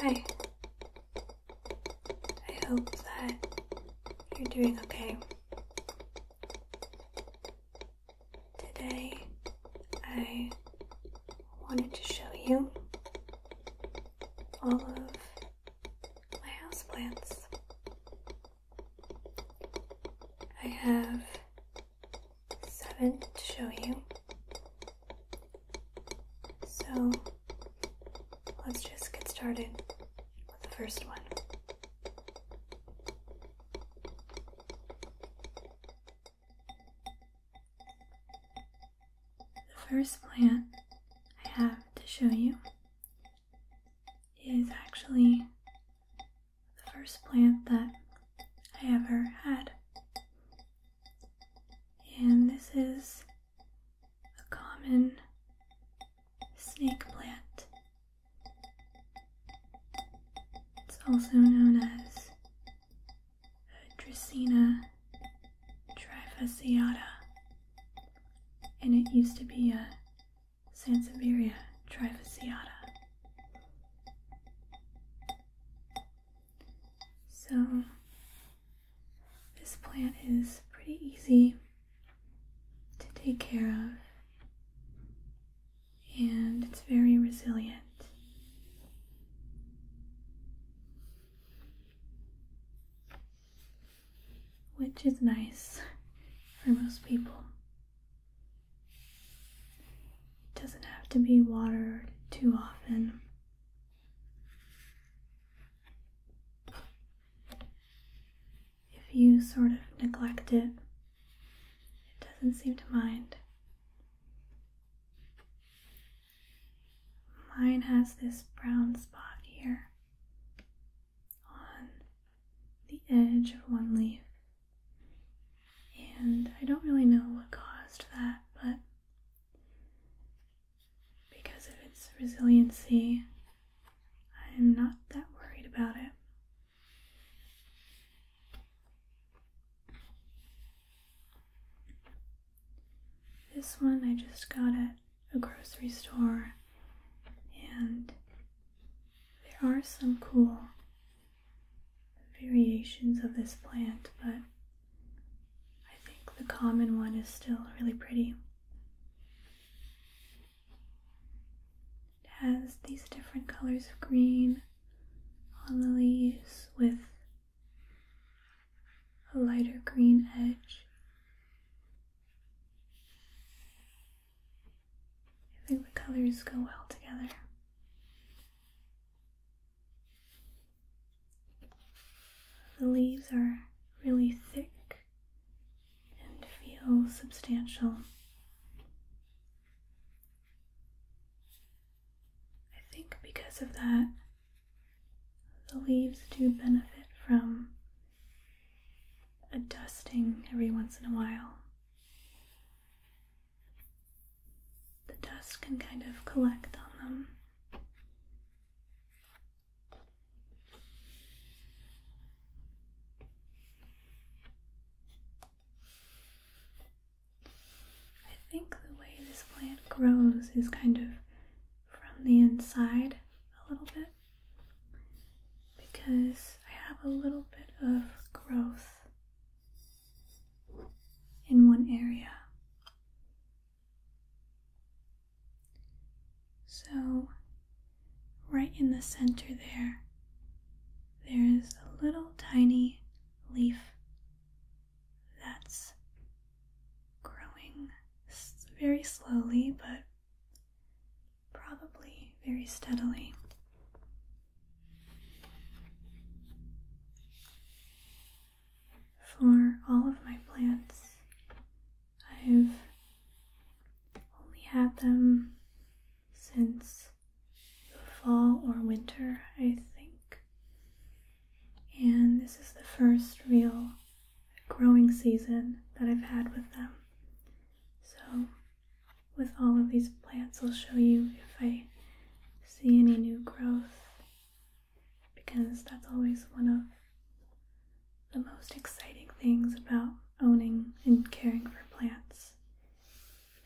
Hi. I hope that you're doing okay. Today, I wanted to show you all of my houseplants. I have seven to show you. So let's just get started with the first one. The first plant I have to show you is actually the first plant that I ever had. And this is a common snake plant. It's also known as Dracaena trifasciata, and it used to be a Sansevieria trifasciata. So, this plant is pretty easy to take care of, and it's very resilient. Which is nice for most people. It doesn't have to be watered too often. If you sort of neglect it, it doesn't seem to mind. Mine has this brown spot here on the edge of one leaf. And I don't really know what caused that, but because of its resiliency, I'm not that worried about it. This one I just got at a grocery store, and there are some cool variations of this plant, but I think the common one is still really pretty. It has these different colors of green on the leaves with a lighter green edge. I think the colors go well together. The leaves are really thick and feel substantial. I think because of that, the leaves do benefit from a dusting every once in a while the dust can kind of collect on them. I think the way this plant grows is kind of from the inside a little bit because I have a little bit of growth in one area. So, right in the center there, there is a little tiny leaf that's growing very slowly but probably very steadily. For all of my plants, I've only had them since the fall or winter, I think. And this is the first real growing season that I've had with them. So with all of these plants, I'll show you if I see any new growth because that's always one of the most exciting things about owning and caring for plants,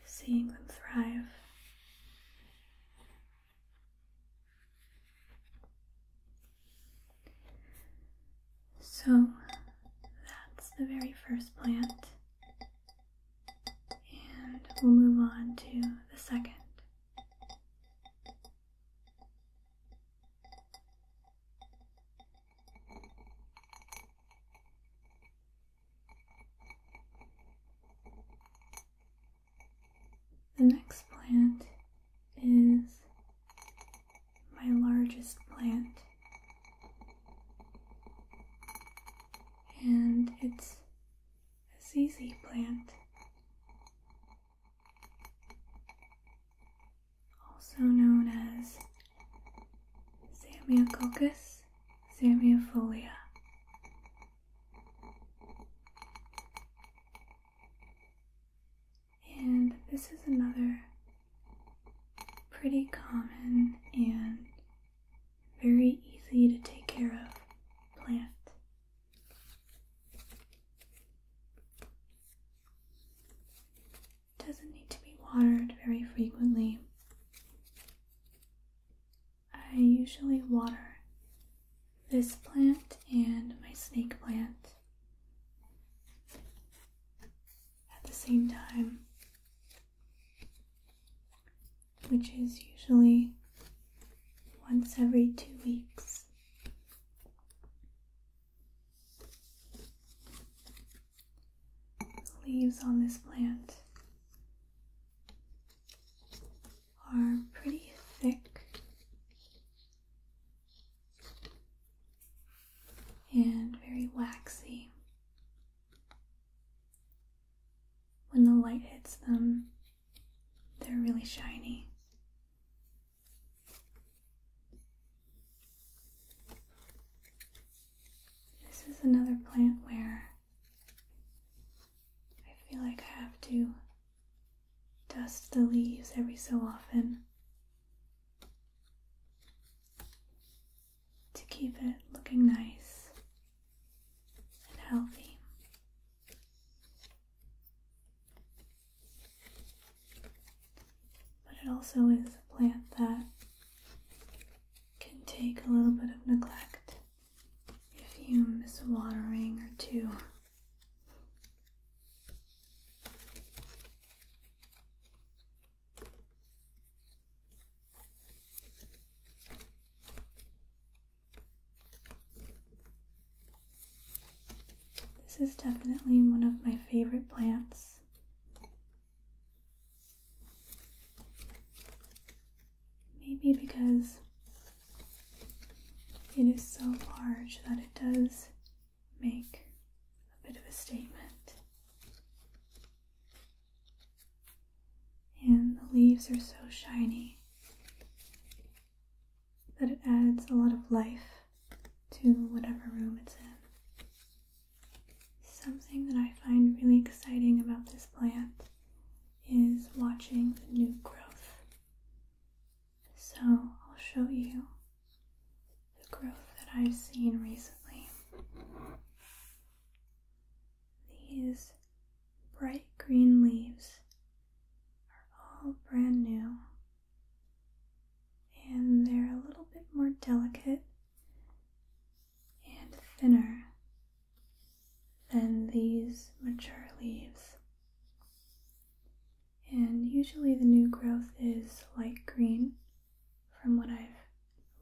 seeing them thrive. So that's the very first plant. And we'll move on to the second. The next plant is my largest plant and it's a ZZ plant, also known as Zamiococcus zamiofolia. And this is another pretty common and very easy to take care of plant. doesn't need to be watered very frequently. I usually water this plant and my snake plant at the same time which is usually once every two weeks. The leaves on this plant are pretty thick and very waxy. When the light hits them, they're really shiny. This is another plant where I feel like I have to dust the leaves every so often to keep it looking nice and healthy. But it also is a plant that can take a little bit of neglect if you miss a watering or two. This is definitely one of my favorite plants. Maybe because it is so large that it does make a bit of a statement. And the leaves are so shiny that it adds a lot of life to whatever room it's in. Something that I find really exciting about this plant is watching the new growth. So I'll show you the growth that I've seen recently. These bright green leaves are all brand new and they're a little bit more delicate and thinner than these mature leaves. And usually the new growth is light green from what I've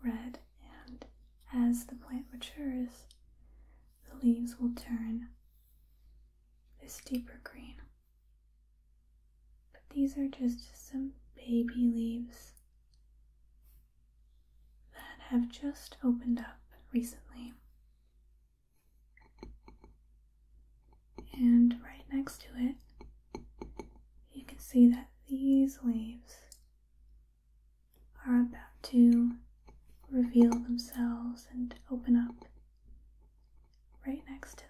red, and as the plant matures, the leaves will turn this deeper green. But these are just some baby leaves that have just opened up recently. And right next to it, you can see that these leaves are about to reveal themselves and open up right next to that.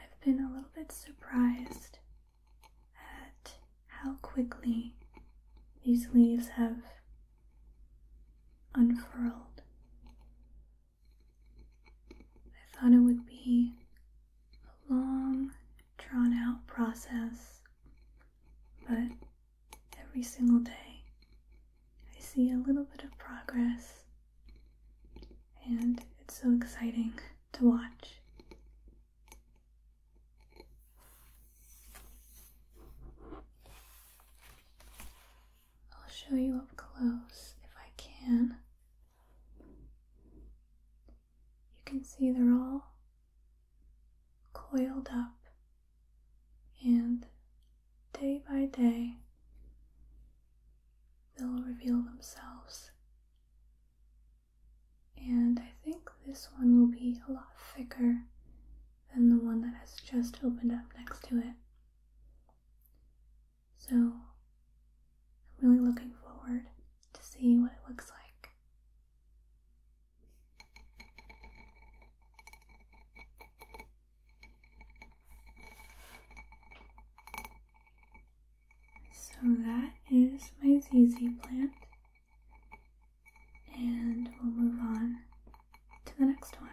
I've been a little bit surprised at how quickly these leaves have unfurled. I thought it would be a long, drawn out process, but every single day I see a little bit of progress, and it's so exciting to watch. I'll show you up close if I can you can see they're all coiled up, and day by day, they'll reveal themselves. And I think this one will be a lot thicker than the one that has just opened up next to it. So I'm really looking forward to see what it looks like. So that is my ZZ plant, and we'll move on to the next one.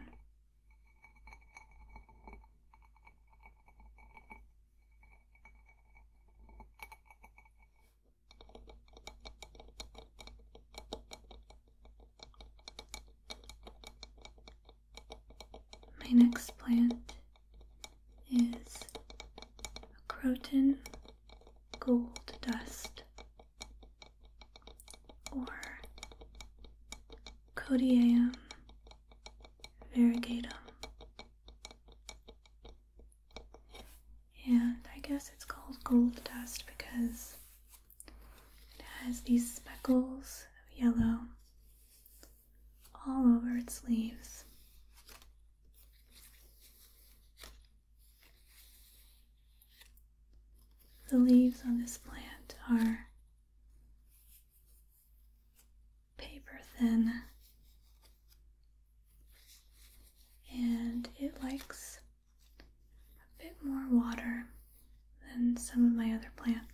My next plant is croton gold dust or Cotiaeum variegatum. And I guess it's called gold dust because it has these speckles of yellow all over its leaves. The leaves on this plant are paper thin and it likes a bit more water than some of my other plants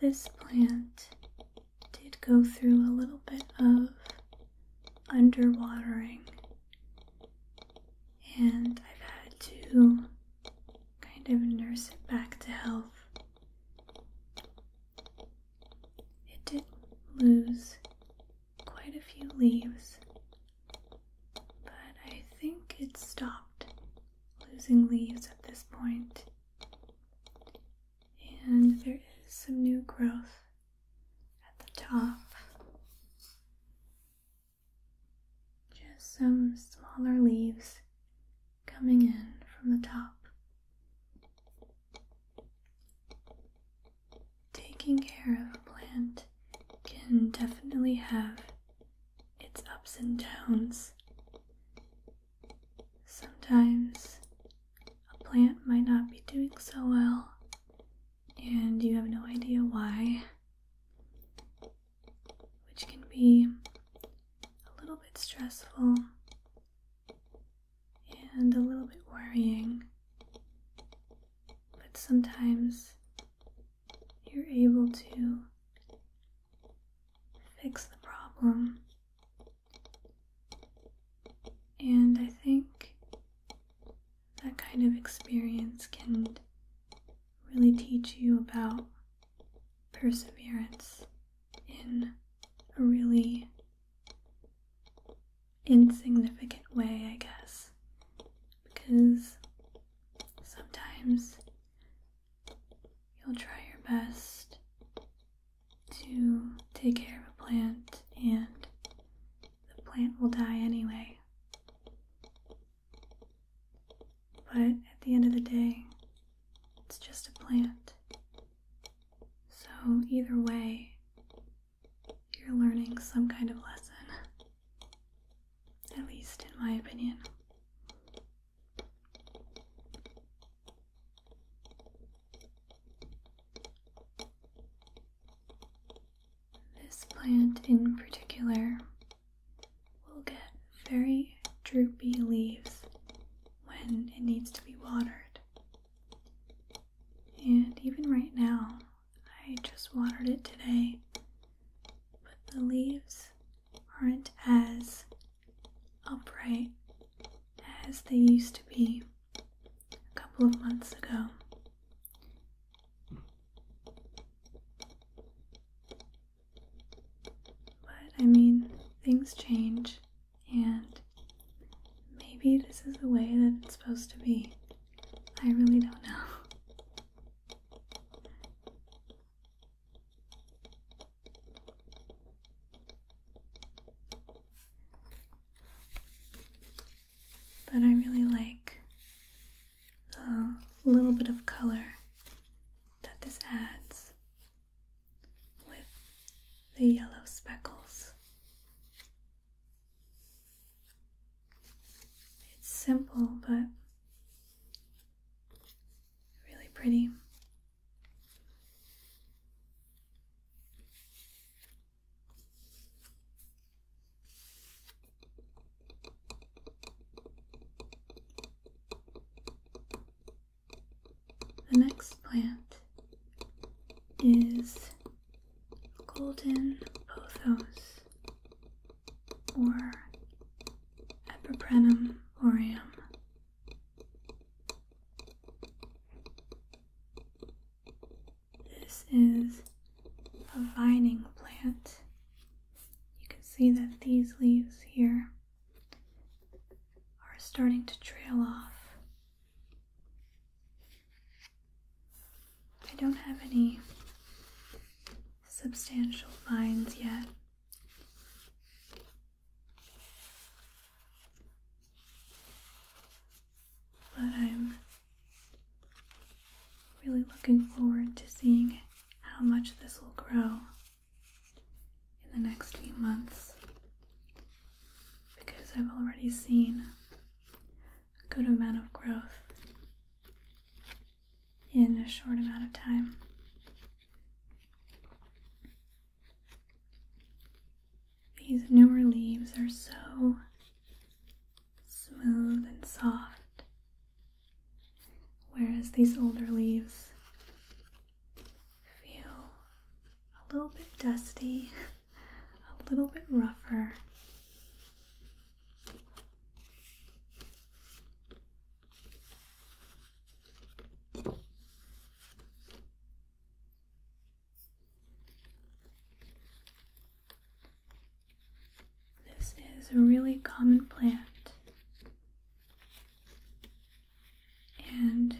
this plant did go through a little bit of underwatering, and I've had to kind of nurse it back to health. It did lose quite a few leaves, but I think it stopped losing leaves at this point, and there is some new growth at the top. Just some smaller leaves coming in from the top. Taking care of a plant can definitely have its ups and downs. Sometimes a plant might not be doing so well, and you have no idea why, which can be a little bit stressful and a little bit worrying. But sometimes you're able to fix the problem. And I think that kind of experience can really teach you about perseverance in a really insignificant way, I guess. Because sometimes you'll try your best to take care of a plant and the plant will die anyway. But at the end of the day, it's just a plant. So, either way, you're learning some kind of lesson. At least, in my opinion. This plant in particular will get very droopy leaves when it needs to be watered. And even right now, I just watered it today, but the leaves aren't as upright as they used to be a couple of months ago. But I mean, things change, and maybe this is the way that it's supposed to be. I really don't know. But I really like the little bit of color that this adds with the yellow speckles. It's simple, but Really pretty. The next plant is golden pothos or Epiprenum aureum. This is a vining plant. You can see that these leaves here are starting to trail off. I don't have any substantial vines yet, but I'm really looking forward to seeing how much this will grow in the next few months because I've already seen a good amount of growth in a short amount of time. These newer leaves are so smooth and soft, whereas these older leaves feel a little bit dusty, a little bit rougher. This is a really common plant and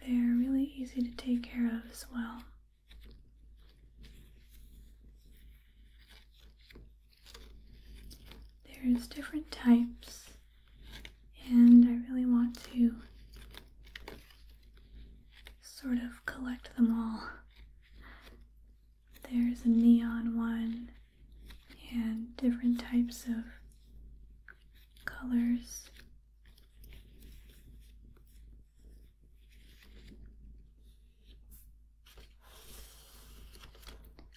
they're really easy to take care of as well. There's different types, and I really want to sort of collect them all. There's a neon one, and different types of colors.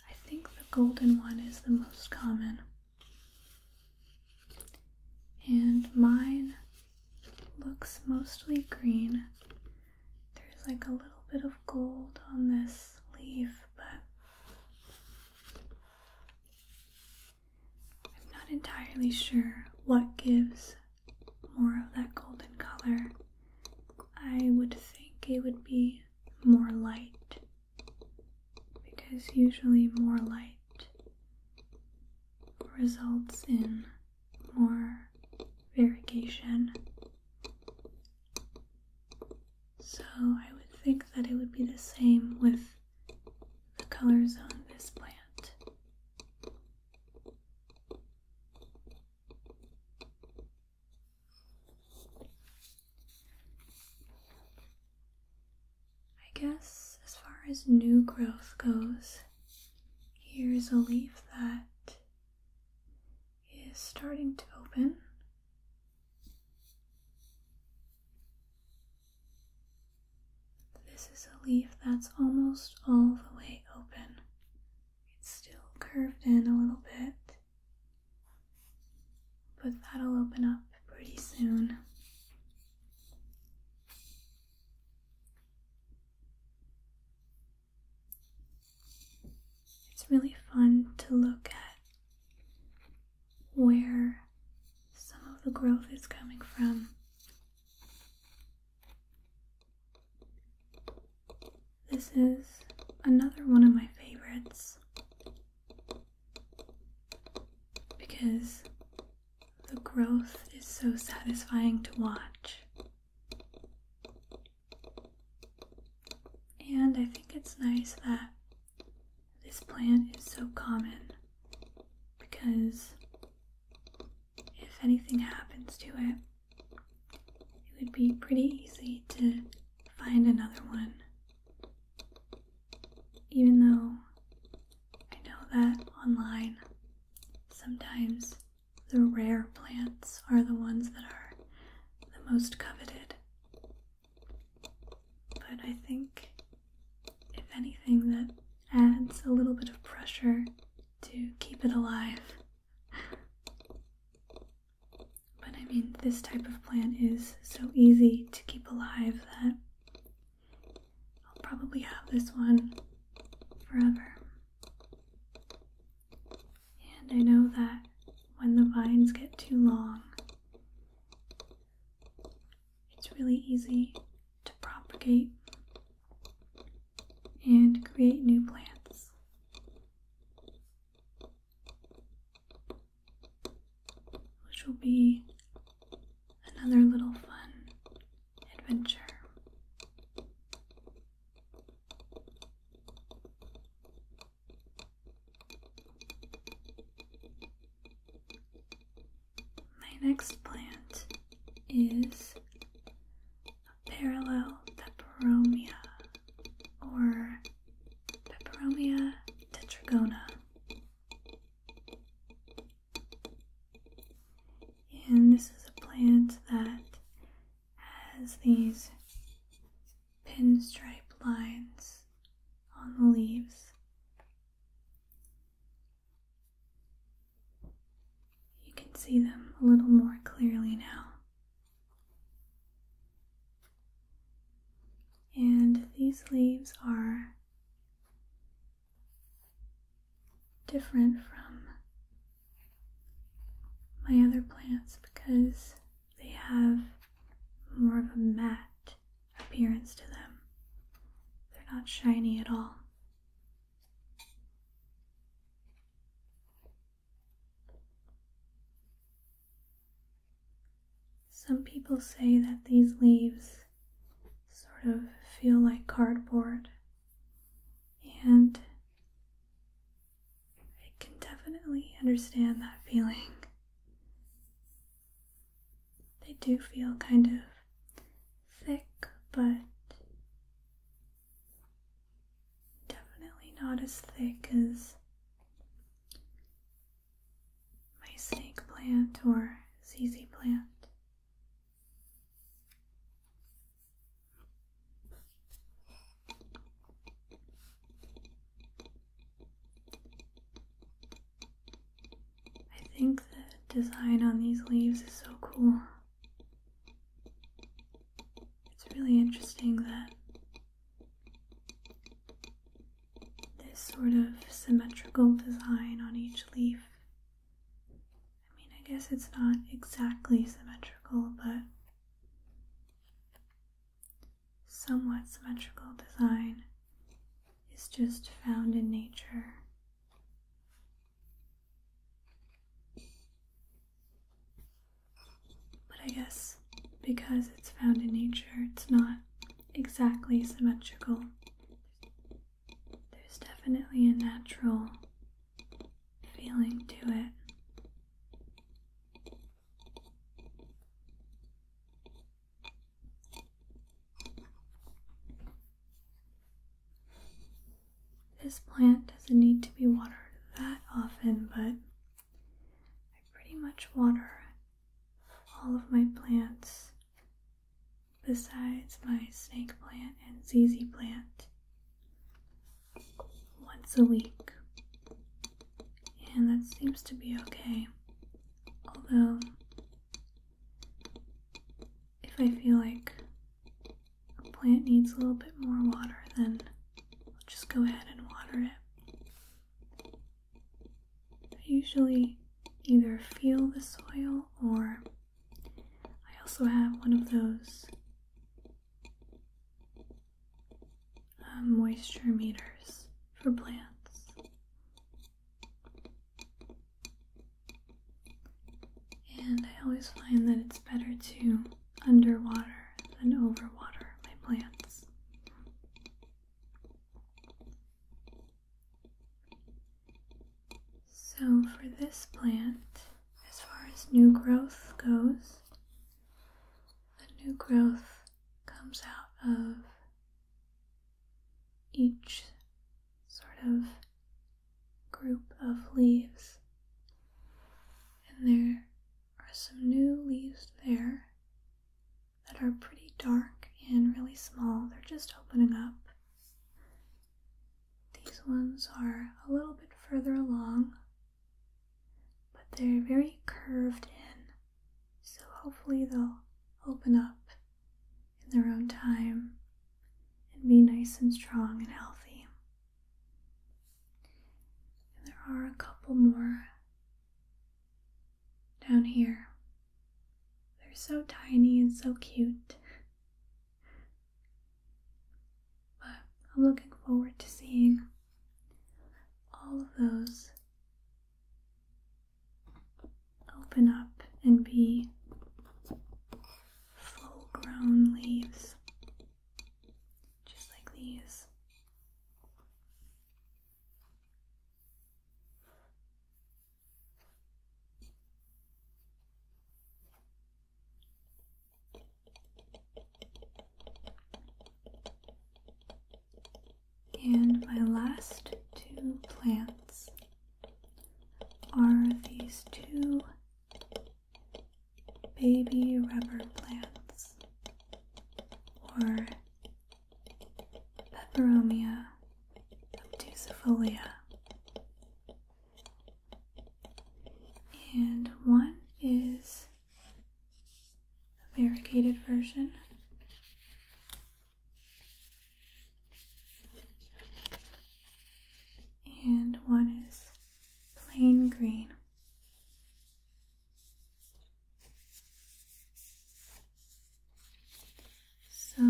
I think the golden one is the most common. And mine looks mostly green. There's like a little bit of gold on this leaf, but I'm not entirely sure what gives more of that golden color. I would think it would be more light because usually more light results in more variegation. So I would think that it would be the same with the colors on this plant. I guess as far as new growth goes, here's a leaf that is starting to open. This is a leaf that's almost all the way open. It's still curved in a little bit. But that'll open up pretty soon. It's really fun to look at where some of the growth is coming from. This is another one of my favorites because the growth is so satisfying to watch. And I think it's nice that this plant is so common because if anything happens to it, it would be pretty easy to find another one. Even though I know that online sometimes the rare plants are the ones that are the most coveted. But I think, if anything, that adds a little bit of pressure to keep it alive. But I mean, this type of plant is so easy to keep alive that I'll probably have this one forever. And I know that when the vines get too long, it's really easy to propagate and create new plants which will be another little fun adventure. My next plant is a parallel pepperomia, or pepperomia tetragona. And this is a plant that has these pinstripe lines on the leaves. You can see them a little more clearly now. And these leaves are different from my other plants because they have more of a matte appearance to them. They're not shiny at all. Some people say that these leaves sort of feel like cardboard, and I can definitely understand that feeling. They do feel kind of thick, but Definitely not as thick as my snake plant or ZZ plant. I think the design on these leaves is so cool. It's really interesting that this sort of symmetrical design on each leaf. I mean, I guess it's not exactly symmetrical, but somewhat symmetrical design is just found in nature. But I guess because it's found in nature, it's not exactly symmetrical. There's definitely a natural feeling to it. This plant doesn't need to be watered that often, but I pretty much water all of my plants besides my snake plant and ZZ plant once a week. And that seems to be okay. Although, if I feel like a plant needs a little bit more water, then We'll just go ahead and water it. I usually either feel the soil or I also have one of those um, moisture meters for plants. And I always find that it's better to underwater and overwater my plants. So, for this plant, as far as new growth goes, the new growth comes out of each sort of group of leaves, and they're are some new leaves there that are pretty dark and really small. They're just opening up. These ones are a little bit further along, but they're very curved in, so hopefully they'll open up in their own time and be nice and strong and healthy. And there are a couple more down here. They're so tiny and so cute. But I'm looking forward to seeing all of those open up and be full grown leaves just like these. And my last two plants are these two baby rubber plants or peperomia obtusifolia. And one is variegated version. And one is plain green. So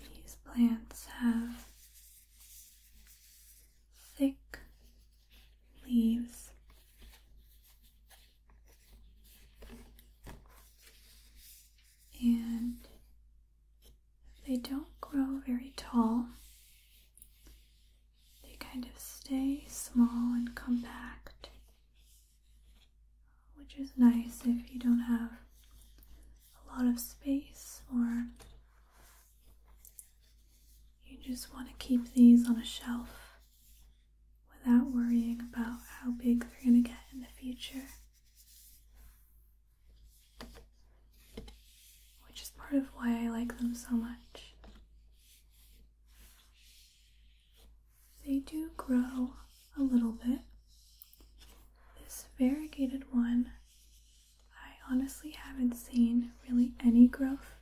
these plants have thick leaves. And they don't grow very tall, they kind of stay small and compact, which is nice if you don't have a lot of space or you just want to keep these on a shelf without worrying about how big they're going to get in the future. Which is part of why I like them so much. They do grow a little bit. This variegated one, I honestly haven't seen really any growth.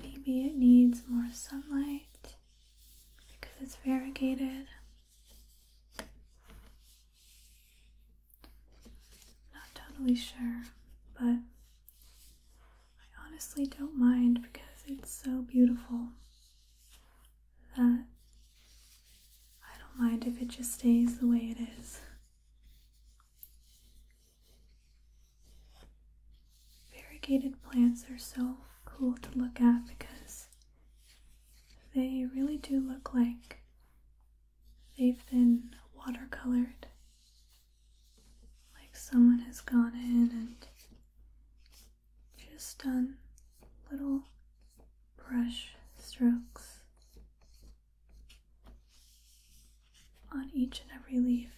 Maybe it needs more sunlight because it's variegated. Not totally sure, but I honestly don't mind because it's so beautiful that I don't mind if it just stays the way it is. Variegated plants are so cool to look at because they really do look like they've been watercolored. Like someone has gone in and just done little brush strokes on each and every leaf.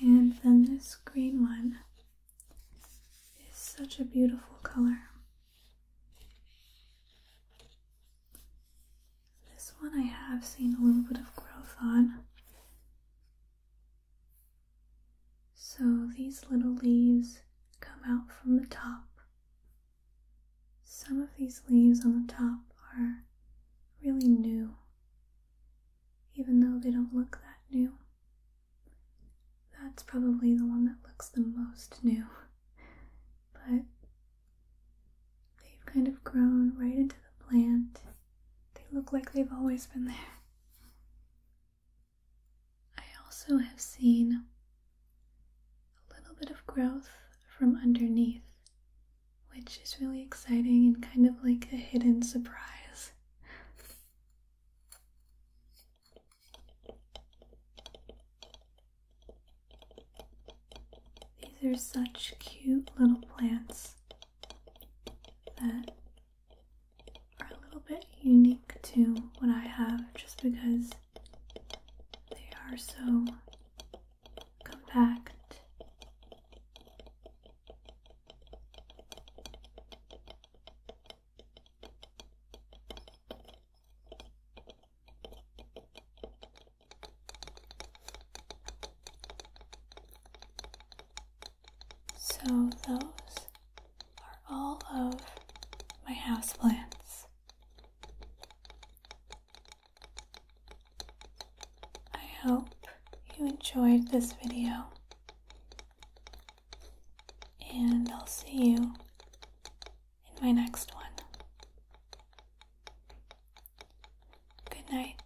And then this green one is such a beautiful color. This one I have seen a little bit of growth on. So these little leaves come out from the top some of these leaves on the top are really new, even though they don't look that new. That's probably the one that looks the most new, but they've kind of grown right into the plant. They look like they've always been there. I also have seen a little bit of growth from underneath, which is really exciting and kind of like a hidden surprise. These are such cute little plants that are a little bit unique to what I have just because they are so compact. So, those are all of my houseplants. I hope you enjoyed this video, and I'll see you in my next one. Good night.